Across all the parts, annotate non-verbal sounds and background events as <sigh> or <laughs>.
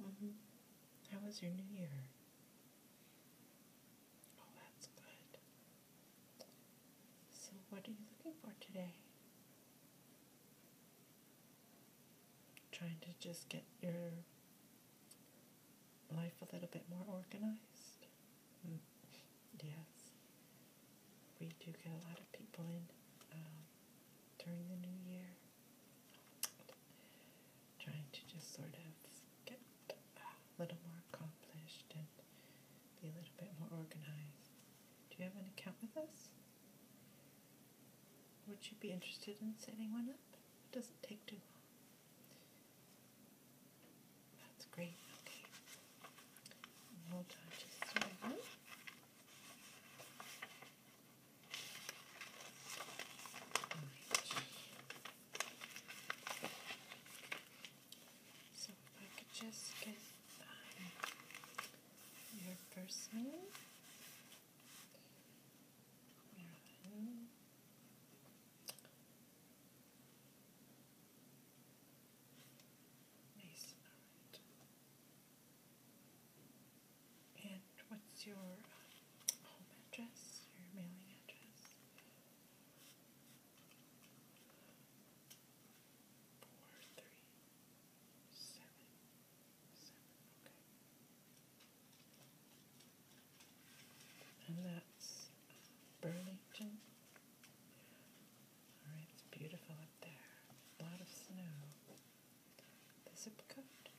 Mm-hmm. How was your new year? Oh, that's good. So, what are you looking for today? Trying to just get your life a little bit more organized? Mm, yes. We do get a lot of people in um, during the new year trying to just sort of get a little more accomplished and be a little bit more organized. Do you have an account with us? Would you be interested in setting one up? It doesn't take too long. That's great. Okay. Hold on just a second. So if I could just get um, your first name, Marilyn. And what's your uh, home address, your mailing address? Four, three, seven, seven, okay. And that's uh, Burlington. Alright, it's beautiful up there. A lot of snow the zip code seven.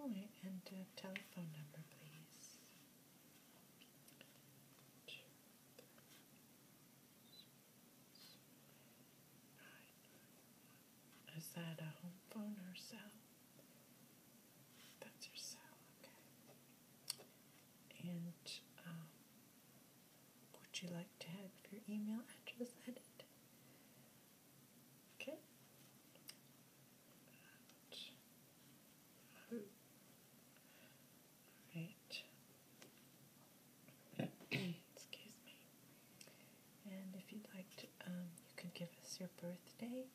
All right, oh, and uh, telephone number, please. Is that a home phone or cell? That's your cell, okay and um, would you like to have your email address added? Okay. Oh, right. <coughs> Excuse me. And if you'd like to, um, you can give us your birthday,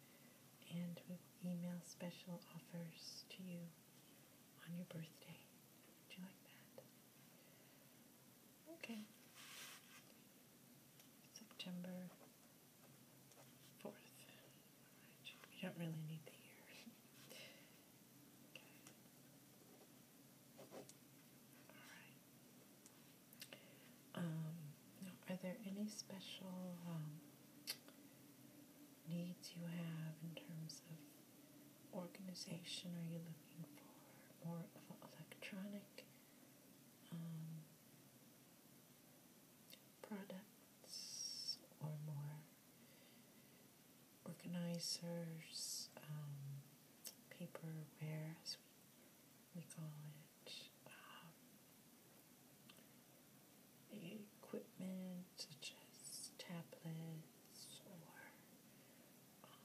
and we will email special offers to you on your birthday. Would you like that? Okay. September 4th. Right. don't really need the year. <laughs> okay. Alright. Um, are there any special um, needs you have in terms of organization. Are you looking for more of an electronic um, products or more organizers, um, paperware, as we, we call it? Um, equipment such as tablets or um,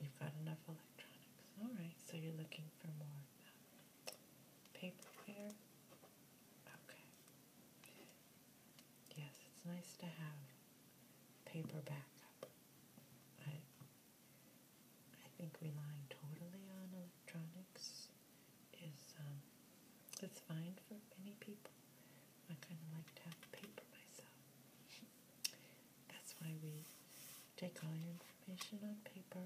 you've got enough electronics. All right, so you're looking for more uh, paperware. Okay. Yes, it's nice to have paper backup. I I think relying totally on electronics is it's um, fine for many people. I kind of like to have the paper myself. That's why we take all your information on paper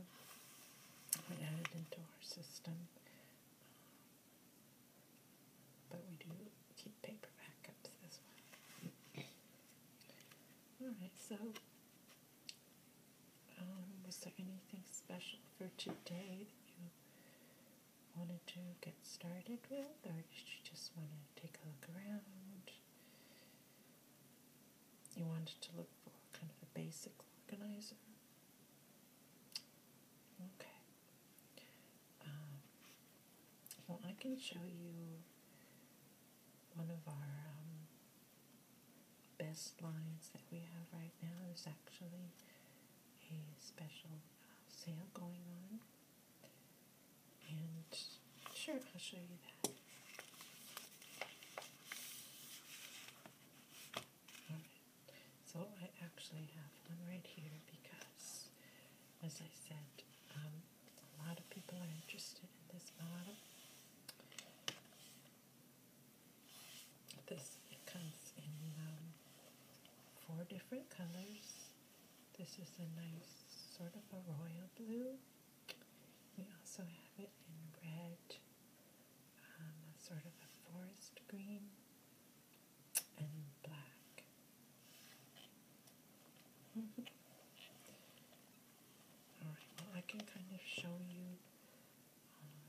and add it into our system. Um, but we do keep paper backups as well. Alright, so um, was there anything special for today that you wanted to get started with, or did you just want to take a look around? You wanted to look for kind of a basic organizer? Okay. Um, well, I can show you one of our um, best lines that we have right now. There's actually a special uh, sale going on. And sure, I'll show you that. so I actually have one right here because, as I said, um, a lot of people are interested in this bottle. This comes in um, four different colors. This is a nice sort of a royal blue. We also have it in red, um, a sort of a forest green, and black. <laughs> Alright, well, I can kind of show you um,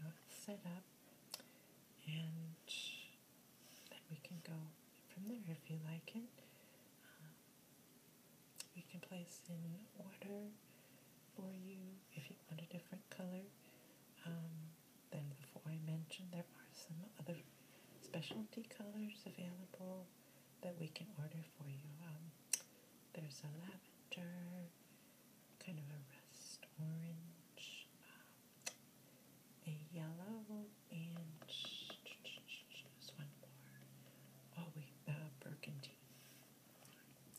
how it's set up, and then we can go from there if you like it. Um, we can place in order for you if you want a different color. Um, then, before I mentioned, there are some other specialty colors available that we can order for you. Um, there's a lavender, kind of a rust orange, um, a yellow, and this one more. Oh, we uh, burgundy.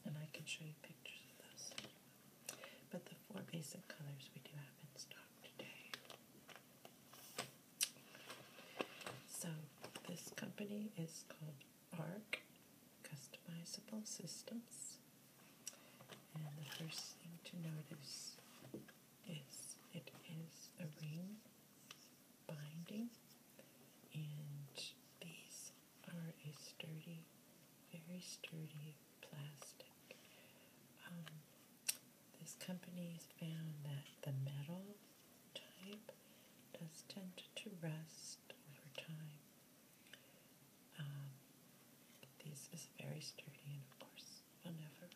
And I can show you pictures of those. But the four basic colors we do have in stock today. So, this company is called ARC customizable systems. And the first thing to notice is it is a ring binding, and these are a sturdy, very sturdy plastic. Um, this company has found that the metal type does tend to rust over time. Um, this is very sturdy and, of course, will never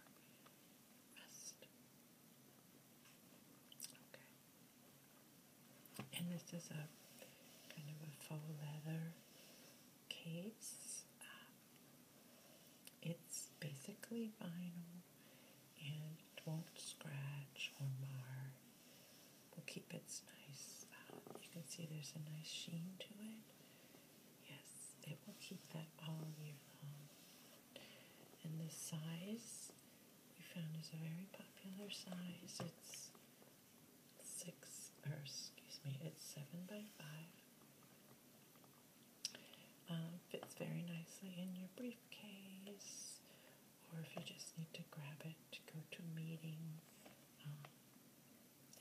rest. Okay. And this is a kind of a faux leather case. Um, it's basically vinyl and it won't scratch or mar. We'll keep its nice, uh, you can see there's a nice sheen to it. Yes, it will keep that all year long. And this size we found is a very popular size. It's six, or excuse me, it's seven by five. Uh, fits very nicely in your briefcase or if you just need to grab it to go to a meeting. Um,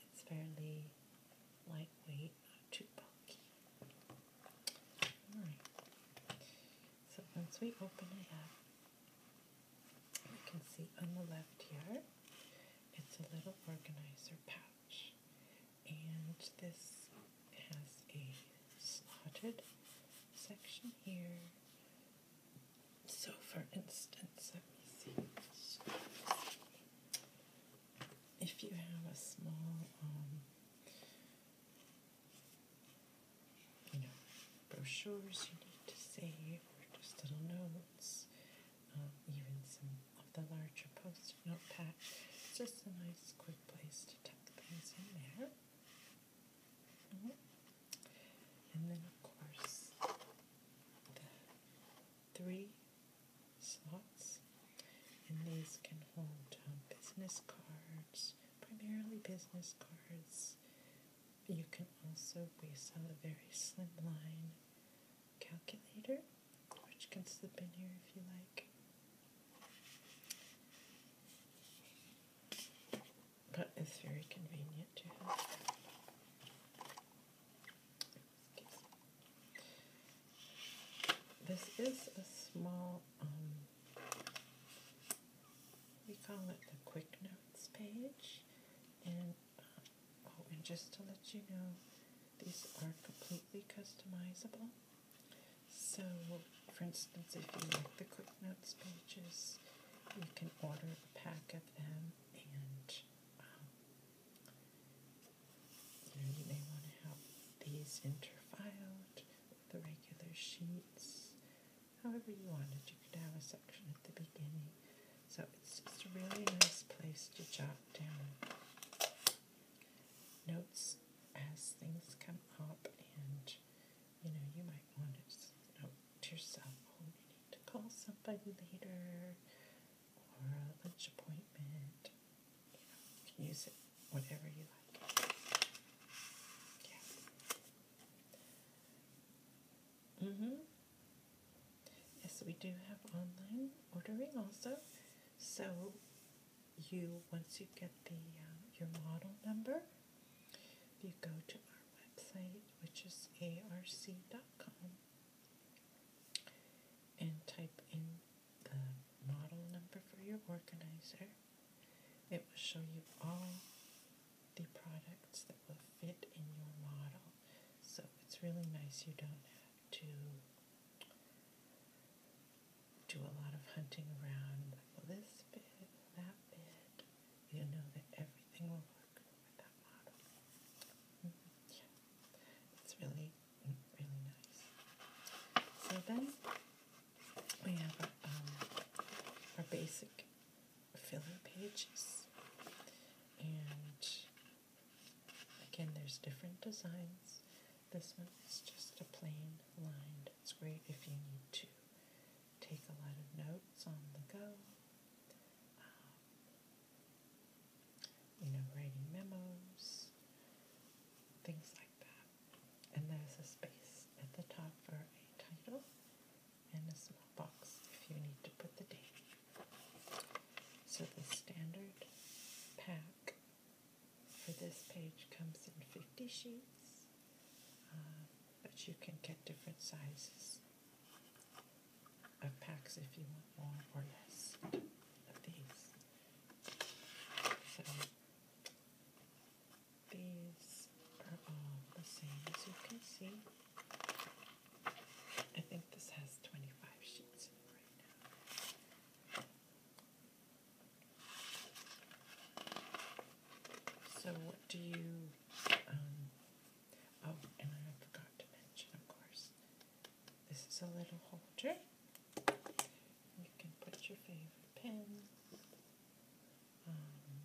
it's fairly lightweight, not too bulky. so once we open it up, you can see on the left here, it's a little organizer pouch. And this has a slotted section here. So, for instance, let me see. If you have a small, um, you know, brochures you need to save, or just little notes, um, even some of the larger post-it notepad, it's just a nice, quick place to tuck things in there. Mm-hmm. And then, of course, the three slots. And these can hold um, business cards, primarily business cards. You can also, we saw a very slim line calculator, which can slip in here if you like. That is very convenient to have. This is a small, um, we call it the quick notes page. And, uh, oh, and just to let you know, these are completely customizable. So, for instance, if you like the quick notes pages, you can order a pack of them, and um, you may want to have these interfiled with the regular sheets. However you wanted, you could have a section at the beginning. So it's just a really nice place to jot down notes as things come up, and you know, you might want to just note to yourself, oh, you need to call somebody later or a lunch appointment. You know, use it whatever you like. Yeah. Mm-hmm. Yes, we do have online ordering also. So you once you get the uh, your model number, you go to our website, which is arc.com, and type in the model number for your organizer. It will show you all the products that will fit in your model. So it's really nice you don't have to do a lot of hunting around, like this bit, that bit, you know that everything will work with that model. Yeah, mm-hmm. it's really, mm, really nice. So then we have our, um, our basic filling pages, and again, there's different designs. This one is just a plain lined. It's great if you need to take a lot of notes on the go. Um, you know, writing memos, things like that. And there's a space at the top for a title and a small box if you need to put the date. So the standard pack for this page comes in 50 sheets, uh, but you can get different sizes of packs if you want more or less of these. So these are all the same as you can see. I think this has 25 sheets right now. So what do you, um, oh, and I forgot to mention, of course, this is a little holder. You can put your favorite pen. Um,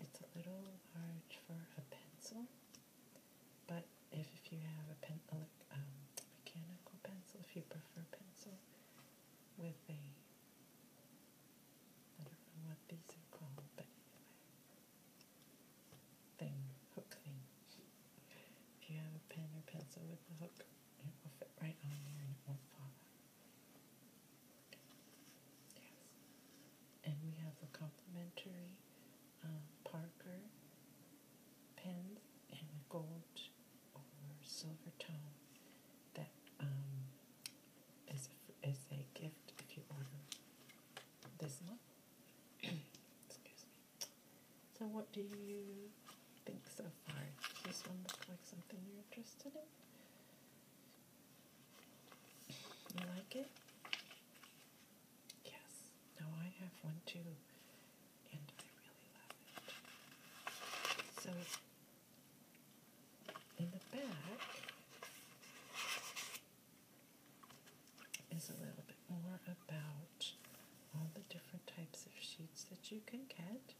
it's a little large for a pencil, but if, you have a pen, um, mechanical pencil, if you prefer pencil, with a, I don't know what these are called, but thing, hook thing. If you have a pen or pencil with a hook, it will fit right on there and won't fall out. Yes. And we have the complimentary uh, Parker pens and gold or silver tone that um, is, a, is a gift if you order this one. <clears throat> So what do you think so far? Does this one look like something you're interested in? You like it? Yes. No, I have one too and I really love it. So in the back is a little bit more about all the different types of sheets that you can get.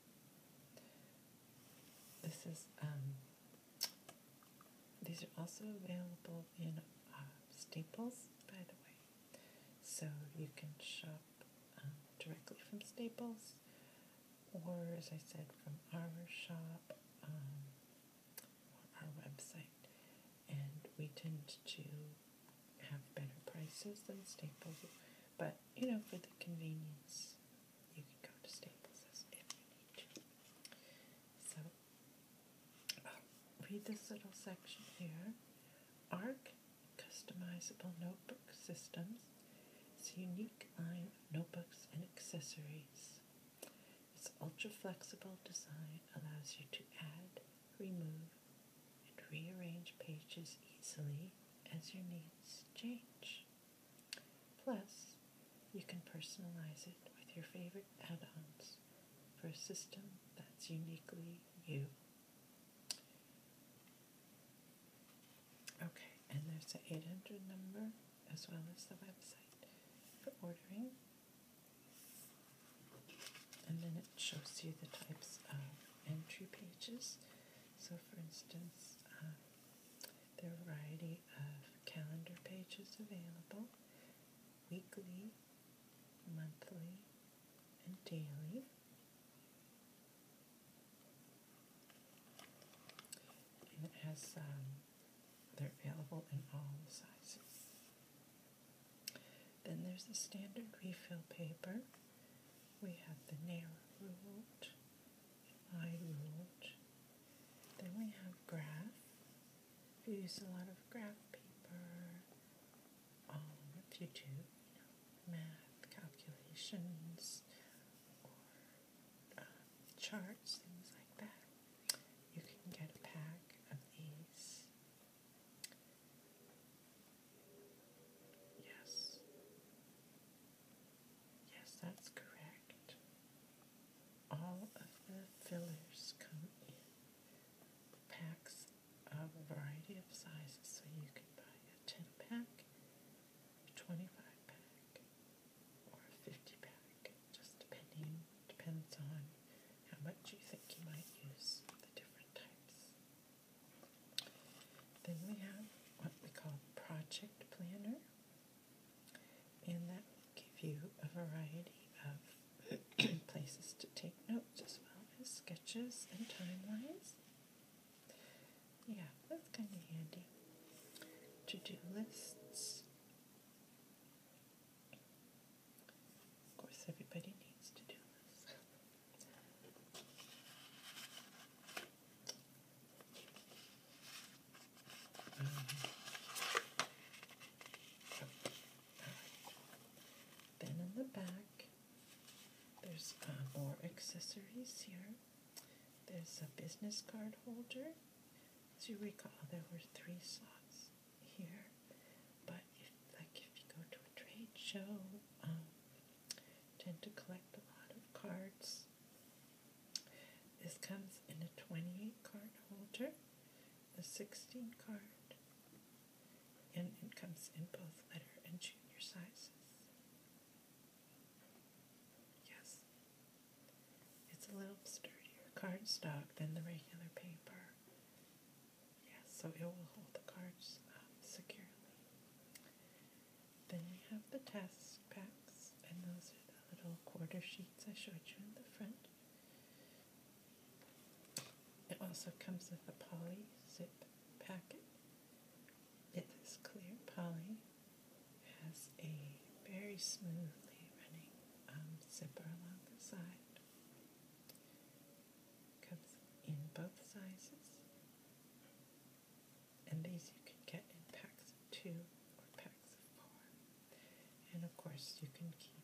This is um, these are also available in uh, Staples, by the way. So you can shop um, directly from Staples, or as I said, from our shop um, our website. And we tend to have better prices than Staples, but you know, for the convenience, you can go to Staples if you need to. So, uh, read this little section here. ARC customizable notebook systems. It's a unique line of notebooks and accessories. Its ultra flexible design allows you to add, remove, and rearrange pages easily as your needs change. Plus, you can personalize it with your favorite add ons for a system that's uniquely you. Okay, and there's the 800 number as well as the website for ordering. And then it shows you the types of entry pages. So, for instance, um, there are a variety of calendar pages available weekly, monthly, and daily. it has, um, they're available in all sizes. Then there's the standard refill paper. We have the narrow ruled, wide ruled. Then we have graph. We use a lot of graph paper all um, what do, math, calculations, or uh, charts, things like that, you can get a pack of these. Yes. Yes, that's correct. All of the fillers come in packs a variety of sizes, so you can buy a 10 pack, a 25 pack, or a 50 pack, just depending, depends on how much you think you might use the different types. Then we have what we call Project Planner, and that will give you a variety of <coughs> places to take notes as well as sketches and timelines. Yeah, that's kind of handy. To do lists. Of course, everybody needs to do lists. <laughs> Then in the back, there's uh, more accessories here. There's a business card holder. As you recall, there were three slots here, but if, like if you go to a trade show, um, tend to collect a lot of cards. This comes in a 28 card holder, a 16 card, and it comes in both letter and junior sizes. Yes, it's a little sturdier cardstock than the regular paper. Yes, so it will hold the cards um, securely. Then we have the test packs, and those are the little quarter sheets I showed you in the front. It also comes with a poly zip packet. It is clear poly, has a very smoothly running um, zipper along the side. Comes in both sizes, and these you can get in packs of two or packs of four. And of course, you can keep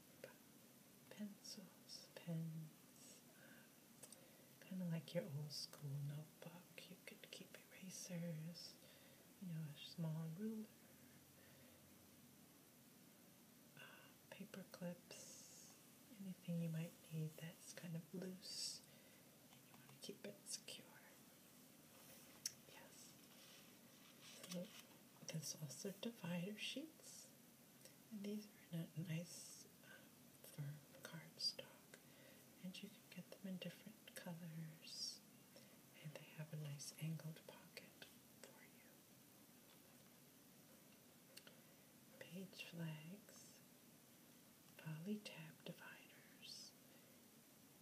pencils, pens, kind of like your old school notebook. You could keep erasers, you know, a small ruler, uh, paper clips, anything you might need that's kind of loose and you want to keep it secure. Yes. there's also divider sheets. And these are in a nice uh, firm cardstock, and you can get them in different colors, and they have a nice angled pocket for you. Page flags, poly tab dividers.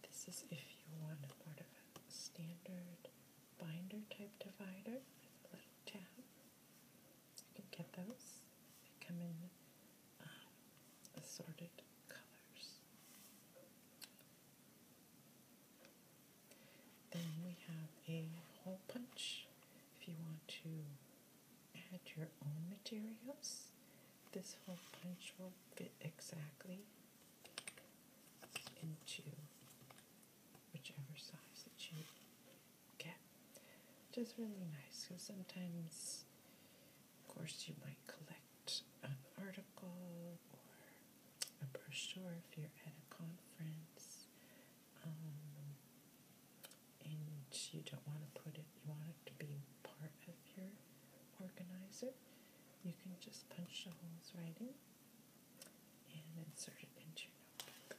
This is if you want a of a standard binder type divider little tab. You can get those. They come in um, assorted colors. Then we have a hole punch if you want to add your own materials. This hole punch will fit exactly into whichever size that you get. Which really nice because sometimes, of course, you might collect an article or a brochure if you're at a conference um, and you don't want to put it, you want it to be part of your organizer. You can just punch the holes right in and insert it into your notebook.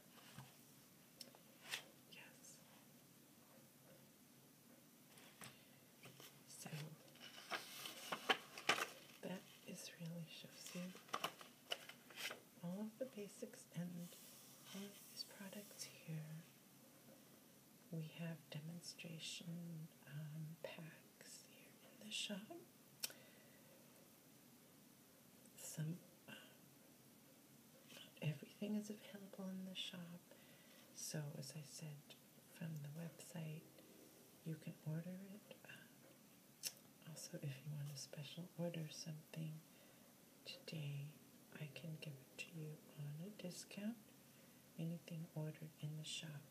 Yes. So that is really shows you all of the basics and of these products here. We have demonstration um, packs here in the shop some uh, everything is available in the shop. So as I said, from the website you can order it. Um, also, if you want a special order something today, I can give it to you on a discount. Anything ordered in the shop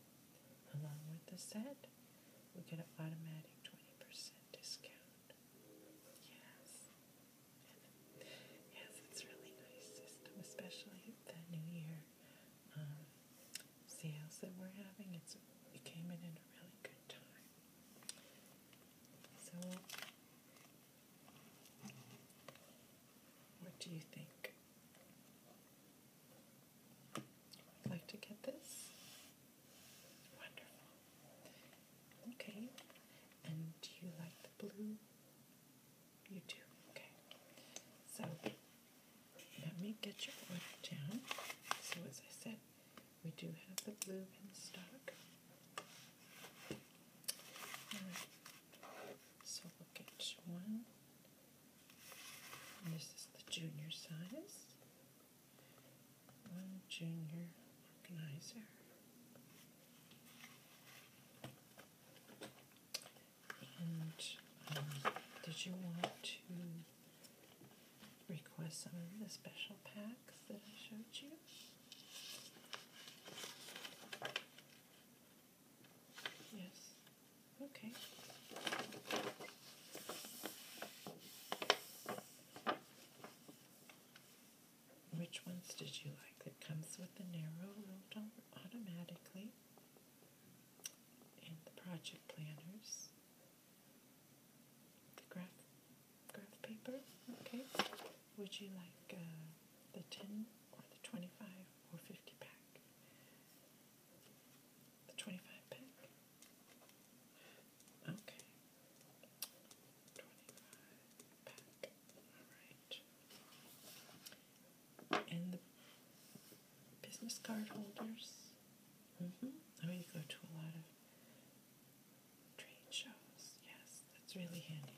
along with the set we get an automatic 20% discount. Yes. yes, it's really nice system, especially the New Year um, sales that we're having. It's, it came in at a really good time. So, what do you think? I'd like to get this. Wonderful. Okay. And do you like the blue? You do. Okay. So let me get your order down. So as I said, we do have the blue in stock. So we'll get you one this is the junior size. One junior organizer. And um, did you want to request some of the special packs that I showed you? Yes. Okay. Which ones did you like? It comes with the narrow loop automatically and the project planners. The graph graph paper. Okay. Would you like uh, the 10 or the 25 or 50 pack? The 25 pick. Okay. 25 pack. Alright. And the business card holders. Mm -hmm. Oh, you go to a lot of trade shows. Yes, that's really handy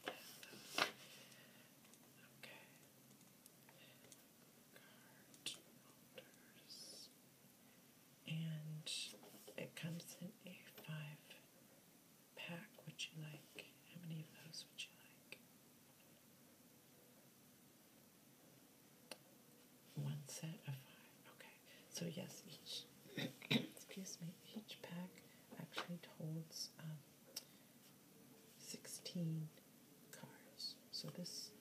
Okay. And it comes in a five pack. Would you like? How many of those would you like? One set of five. Okay. So yes, each <coughs> excuse me, each pack actually holds um, sixteen cars. So this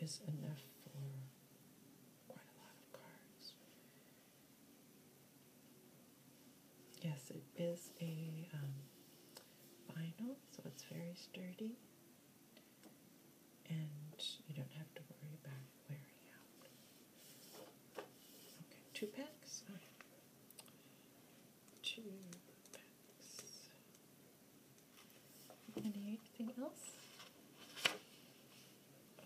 is enough for quite a lot of cars. Yes, it is a um, vinyl, so it's very sturdy, and you don't have to worry about wearing out. Okay, two packs two packs. Anything else?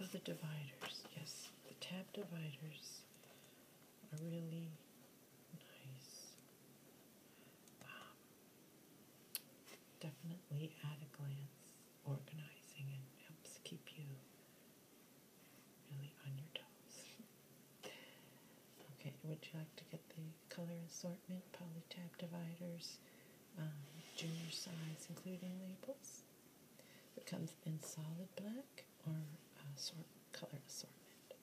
Oh, the dividers. Yes, the tab dividers are really nice. Um, definitely at a glance, organizing and helps keep you really on your toes. <laughs> okay, would you like to get the color assortment, polytab dividers, um, junior size, including labels. It comes in solid black or uh, sort, color assortment.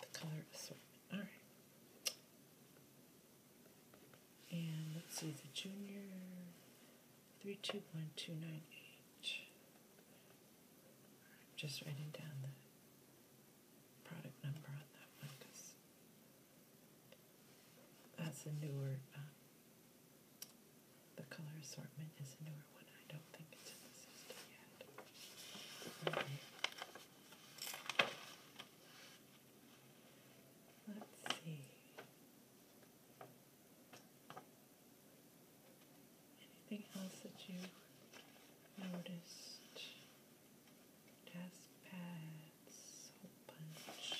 The color assortment. All right. And let's see the junior three two one two nine eight. Just writing down the product number on that one because that's a newer, um, the color assortment is a newer one. I don't think it's in the system yet. Let's see. Anything else that you noticed? Test pads, soap punch.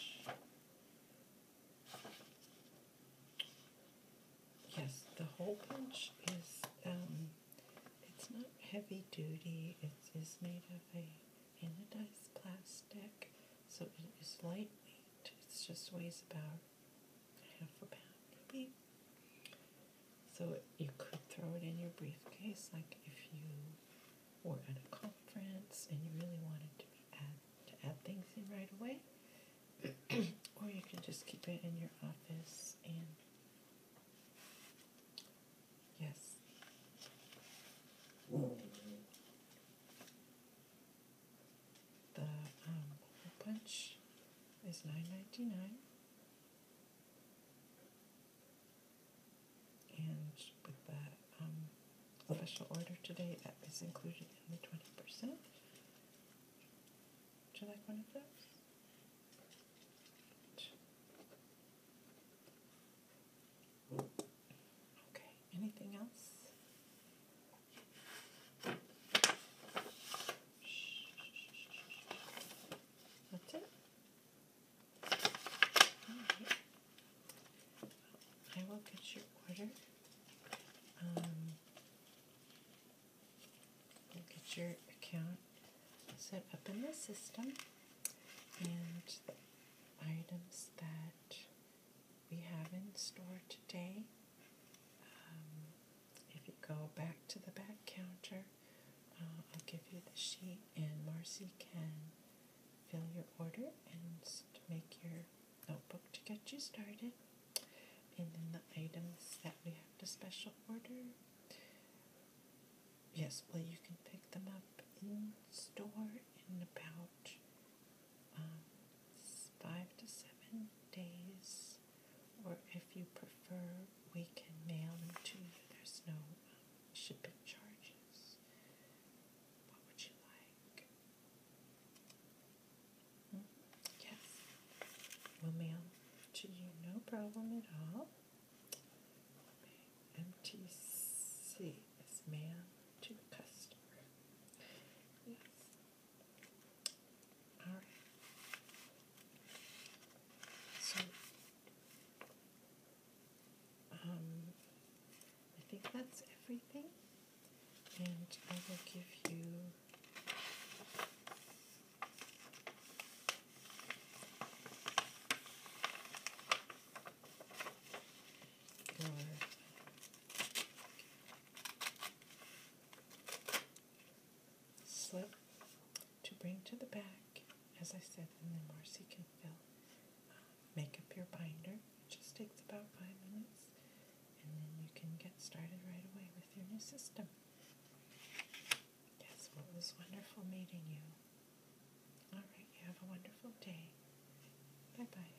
Yes, the hole punch is um it's not heavy duty. It is made of a anodized plastic, so it is lightweight. It just weighs about half a pound maybe. So you could throw it in your briefcase, like if you were at a conference and you really wanted to add to add things in right away, <clears throat> or you could just keep it in your office and. Yes. The um, hole punch is nine ninety nine, and with the um, special order today, that is included in the twenty percent. Would you like one of those? Okay, anything else? That's it. I will get your order. Um, get your account set up in the system and items that we have in store today. Um, if you go back to the back counter, uh, I'll give you the sheet, and Marcy can fill your order and make your notebook to get you started. And then the items that we have to special order. Yes, well, you can pick them up in store in about um, five to seven days or if you prefer, we can mail them to you. There's no um, shipping charges. What would you like? Mm-hmm. yes, we'll mail to you, no problem at all. MTC is mail to customer. Yes, all right. So, um, I think that's everything, and I will give you. your slip to bring to the back, as I said, and then Marcy can fill, uh, make up your binder. It just takes about five minutes, and then you can get started right away with your new system. Yes, it was wonderful meeting you. All right, you have a wonderful day. Bye bye.